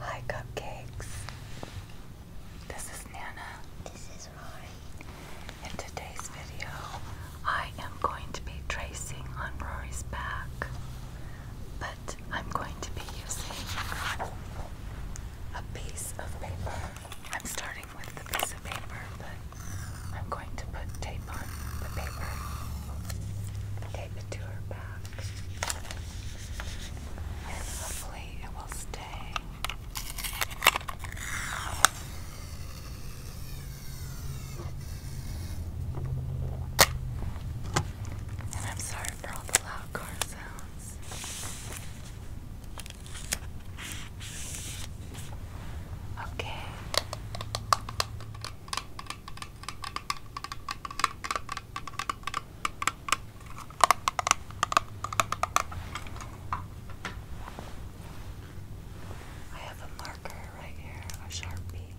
Hi, cupcakes. This is Nana. This is Rory. In today's video, I am going to be tracing on Rory's back, but I'm going to be using a piece of paper. I'm starting with a piece of paper, but I'm going to put tape on the paper, tape it to her back. And hopefully it will stay. And I'm sorry for all the loud car sounds. Okay. I have a marker right here, a sharpie.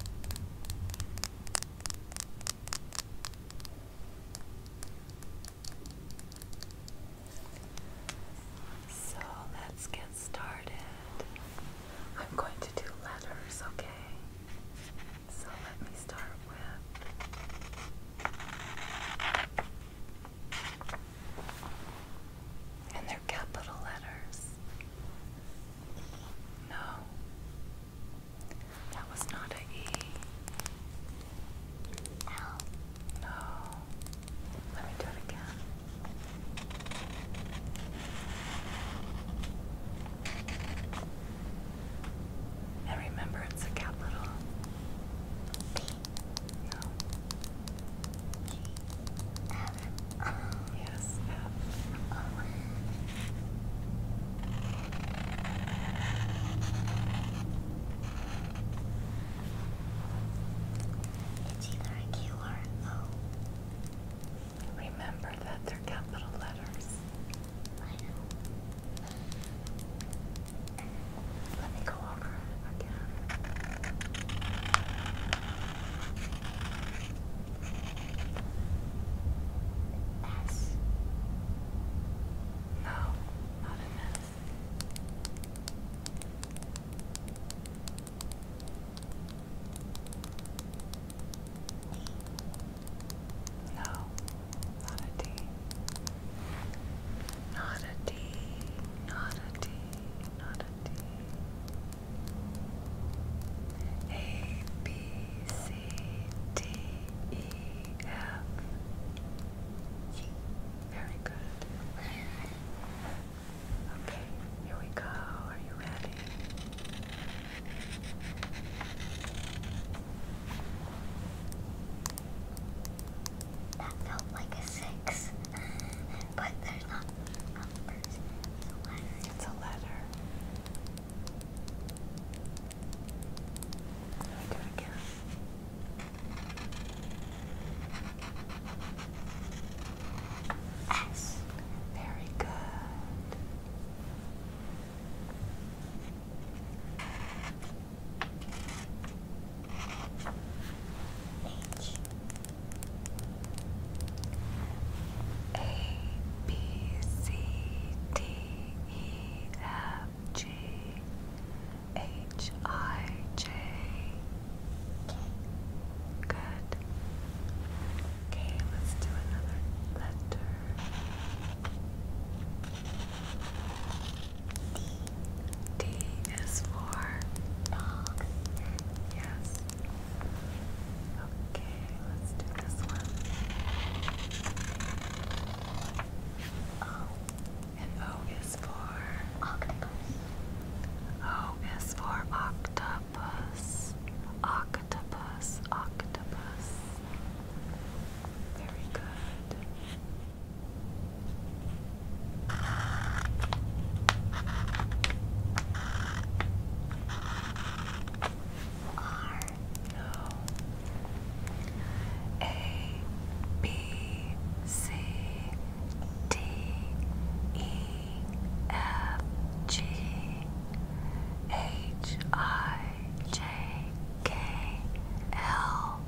So let's get started. I'm going to do letters, okay? So let me start with. And they're capital letters. No. That was not an E. L. No. Let me do it again. And remember, it's a capital P. No. G. F. Yes, F. It's either a Q or O. Remember that they're capital letters. Let me go over again. S. No, not an S. No, not a D. Not a D. Not a D. Not a D. A B C D E F. Very good. Okay, here we go. Are you ready? That felt like a six, but there's not numbers. It's a letter. Let me do again. S. Very good. H. A, B, C, D, E, F, G, H I J K. Good. Okay, let's do another letter. D. D is for dog. Yes. Okay, let's do this one. O. Oh. And O for octopus. O for octopus. Octopus, octopus. Very good. R. No. A B C D E F G H I J K L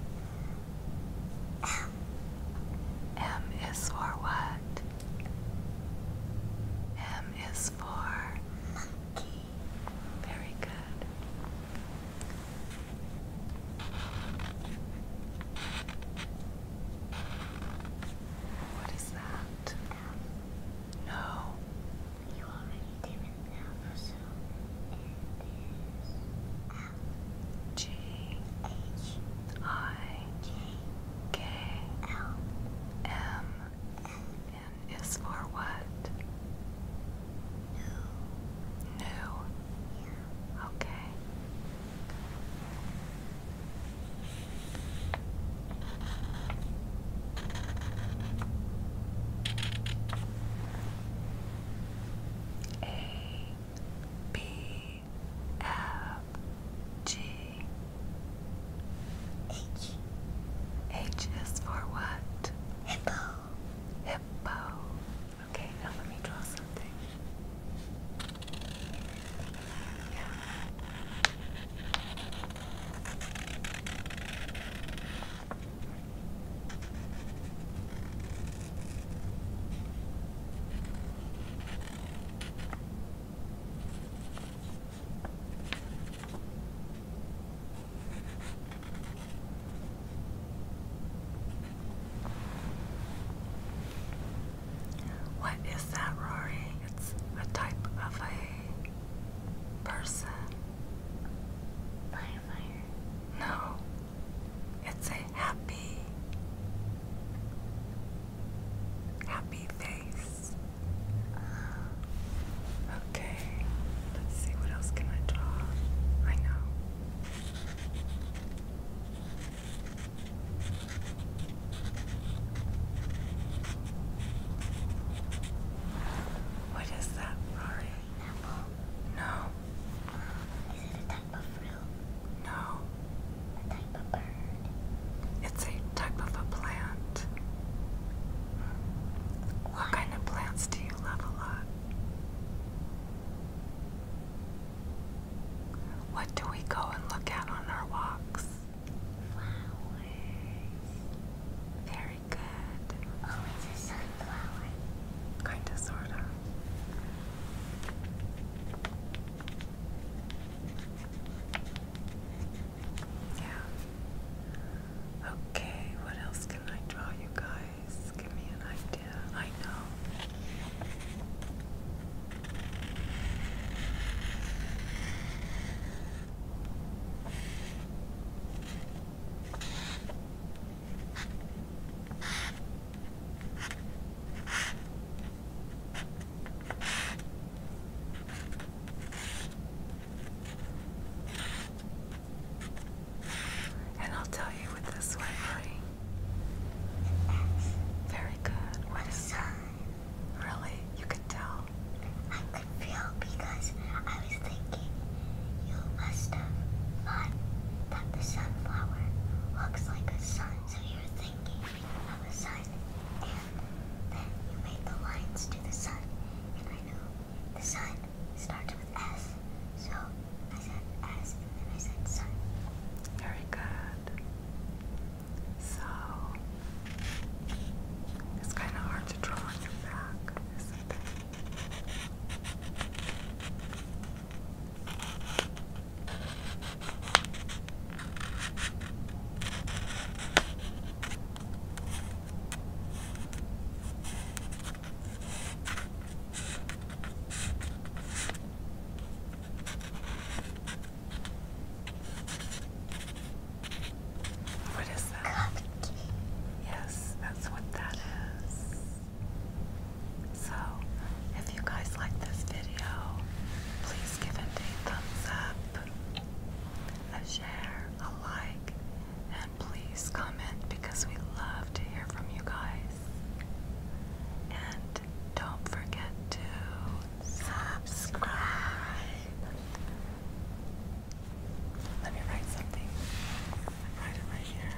M is for what? M is for Very good. What is that? no. You already did it now, so it is L G H I J K L M N is for what? No. No. Okay. A B F G H H is for what? Hippo hippo. Okay, now let me draw something. Yeah. What is that, Rory? It's a type of a person. No, it's a happy, happy face. Okay, let's see what else can I draw. I know. What is that, Rory? No. is it a type of fruit? No. A type of bird? It's a type of a plant. What kind of plants do you love a lot? What do we go and look at on our walks? Flowers. Very good. Oh, a sunflower. Kinda, sorta. Yeah. Okay, what else can I draw you guys? Give me an idea. I know. And I'll tell you with this one, right? Very good. What is that? Really? You could tell? I could feel because I was thinking you must have thought that the sunflower looks like a sun. So you're thinking of a sun then you made the lines to the sun, and I know the sun starts with S, so I said S, and then I said sun. Very good. So it's kind of hard to draw your back, what is that? Yes, that's what that is. So, if you guys like this video, please give it a thumbs up, a share, a like, and please comment because we love to hear from you guys. And don't forget to subscribe. Let me write something. Write it right here.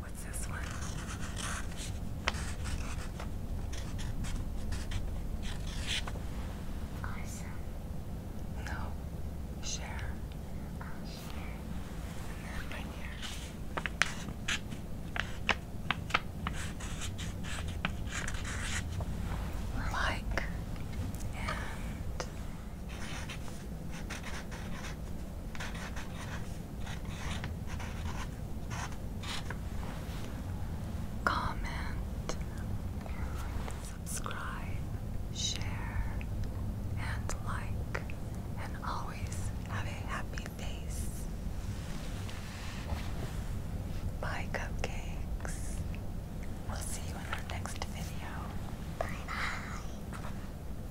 What's this one? Awesome. No. Share. i And then right here. Like and Comment, subscribe, share, and like, and always have a happy face. Bye, cupcakes. We'll see you in our next video. Bye bye.